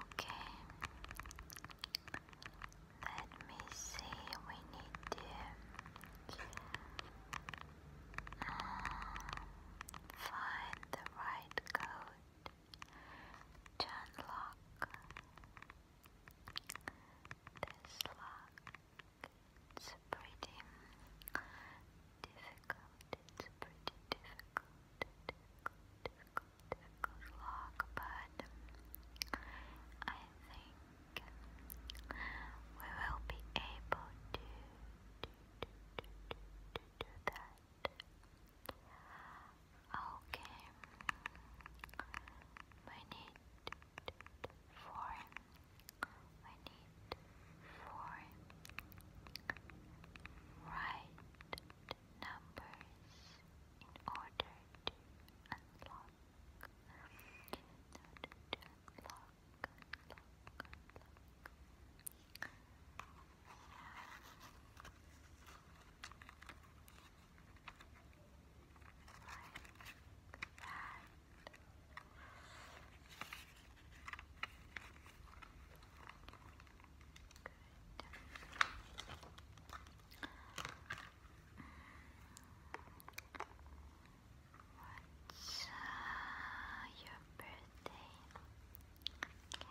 Okay. Let me see. We need to find the right code to unlock this lock. It's pretty difficult, it's pretty difficult, difficult, difficult, difficult vlog, but I think we will be able to do, that. Okay, we need for we need four right numbers in order to unlock. In order to unlock, unlock, unlock. Like that. What's uh, your birthday? Okay.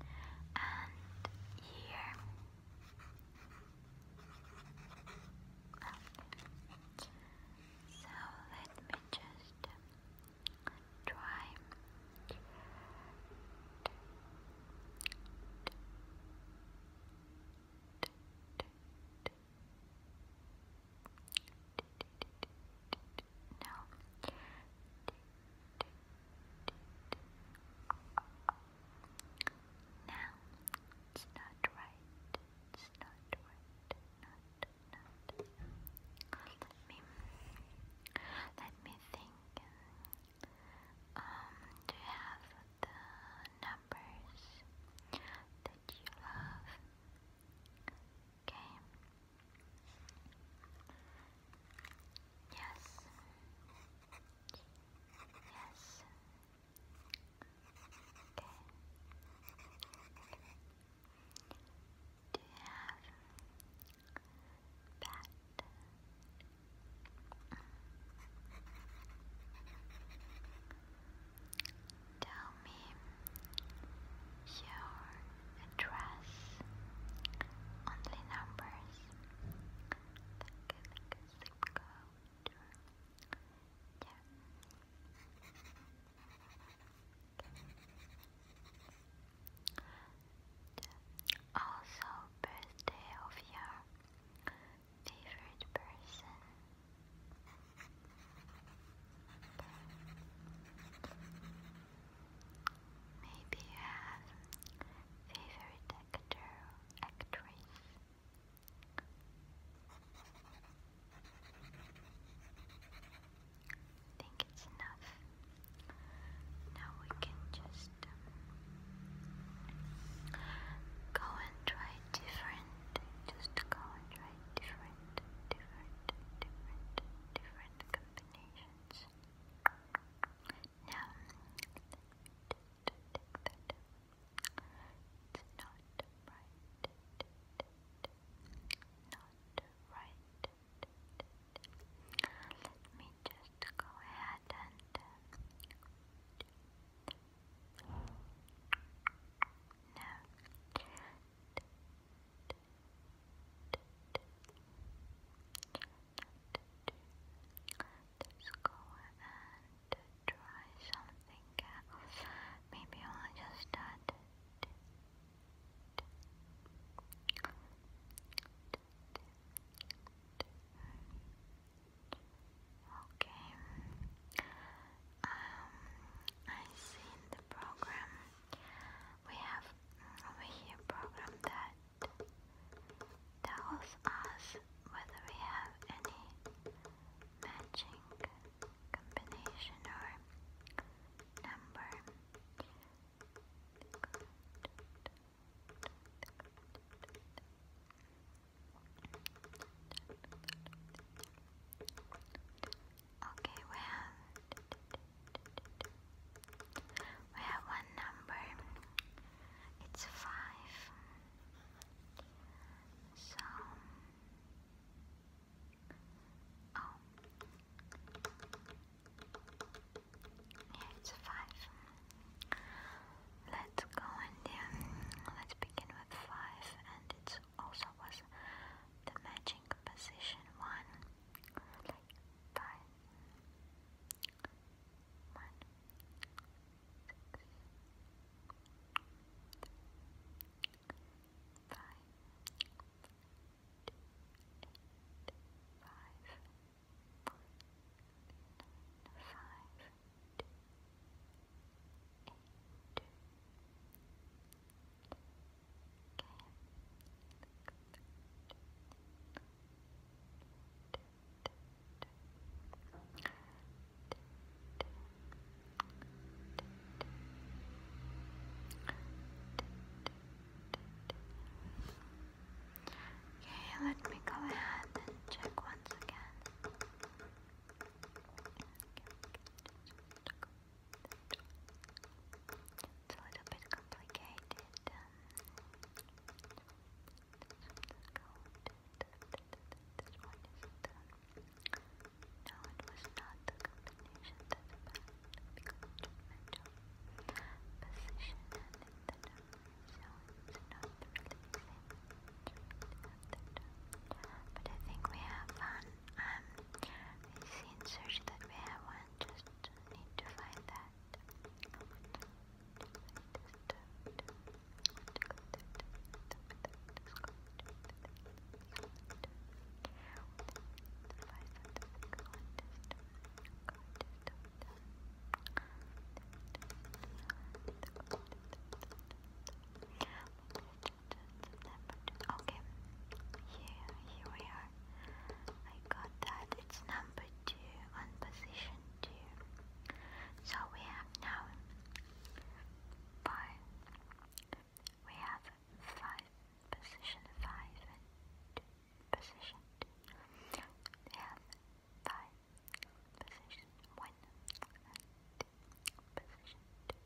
Okay. And year. Okay. So let me just try no. Now, it's not right. It's not right. Not, not. Let me, let me think. Um, do you have the numbers that you love? Okay. Yes. Yes. Do you have bat? Tell me your address. Only numbers. Like, like a zip code. Also, birthday of your favorite person. Maybe you have favorite actor, actress. I think it's enough. Now we can just go and try different. Just go and try different, different, different, different combinations. Now, take that down. It's not right. Not right. Let me just go ahead and no. Uh, it's Let's go and try something else. Maybe I'll just start. Okay. Um, I see in the program we have over here program that tells us whether we have any matching combination or number. Okay, we have we have one number. It's five. So oh it's five. Let's go and um, let's begin with five, and it also was the matching position one five, one, six, five, two, eight, five, four, nine, five, two, eight, two, Okay, let me go ahead and check once again. It's a little bit complicated. Um, was not the combination that's bad because it mental position and in the number, so it's not really the same. But I think we have one. Um, it seems that we have one just need to find that. I want to find this I Okay, here, here we are. I got that. It's number two on position two. So we have now five. We have five position five and two, position two. We have five position one and two, position two.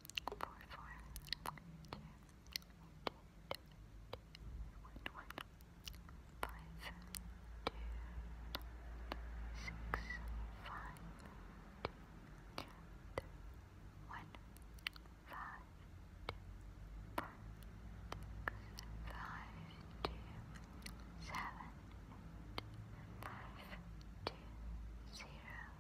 four, four, two, two, two, one, one, five, two, six, five, two, three, one, five, two, four, six, five, two, seven, eight, five, two, zero.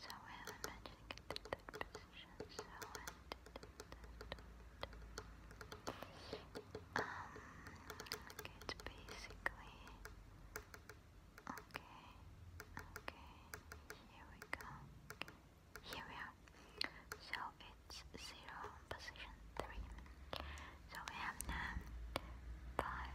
So I haven't managed to get um, to position, so it's basically. Okay, okay, here we go. Here we are. So it's zero position three. So we have now five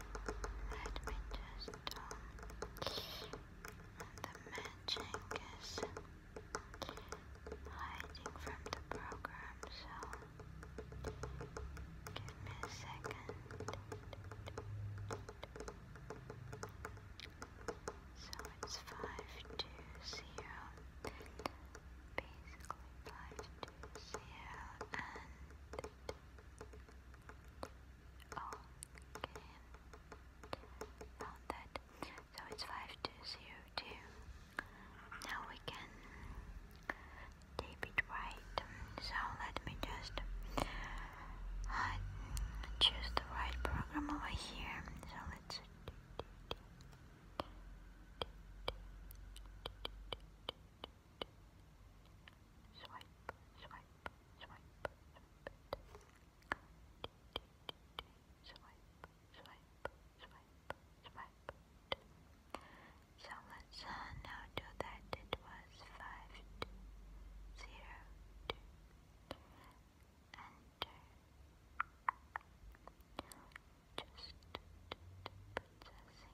Let me just um, the magic is hiding from the program, so give me a second. So it's five basically five and Okay, found that. So it's 5202. Now we can tape it right. So let me just choose the right program over here. So let's it. Swipe, swipe, swipe, swipe it. Swipe, now do that. It was five, two, zero, two. Enter. Just possessing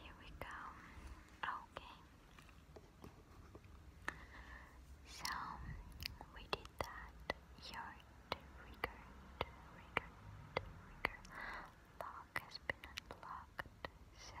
Here we go. Okay. So we did that. Your trigger, trigger, trigger lock has been unlocked. So.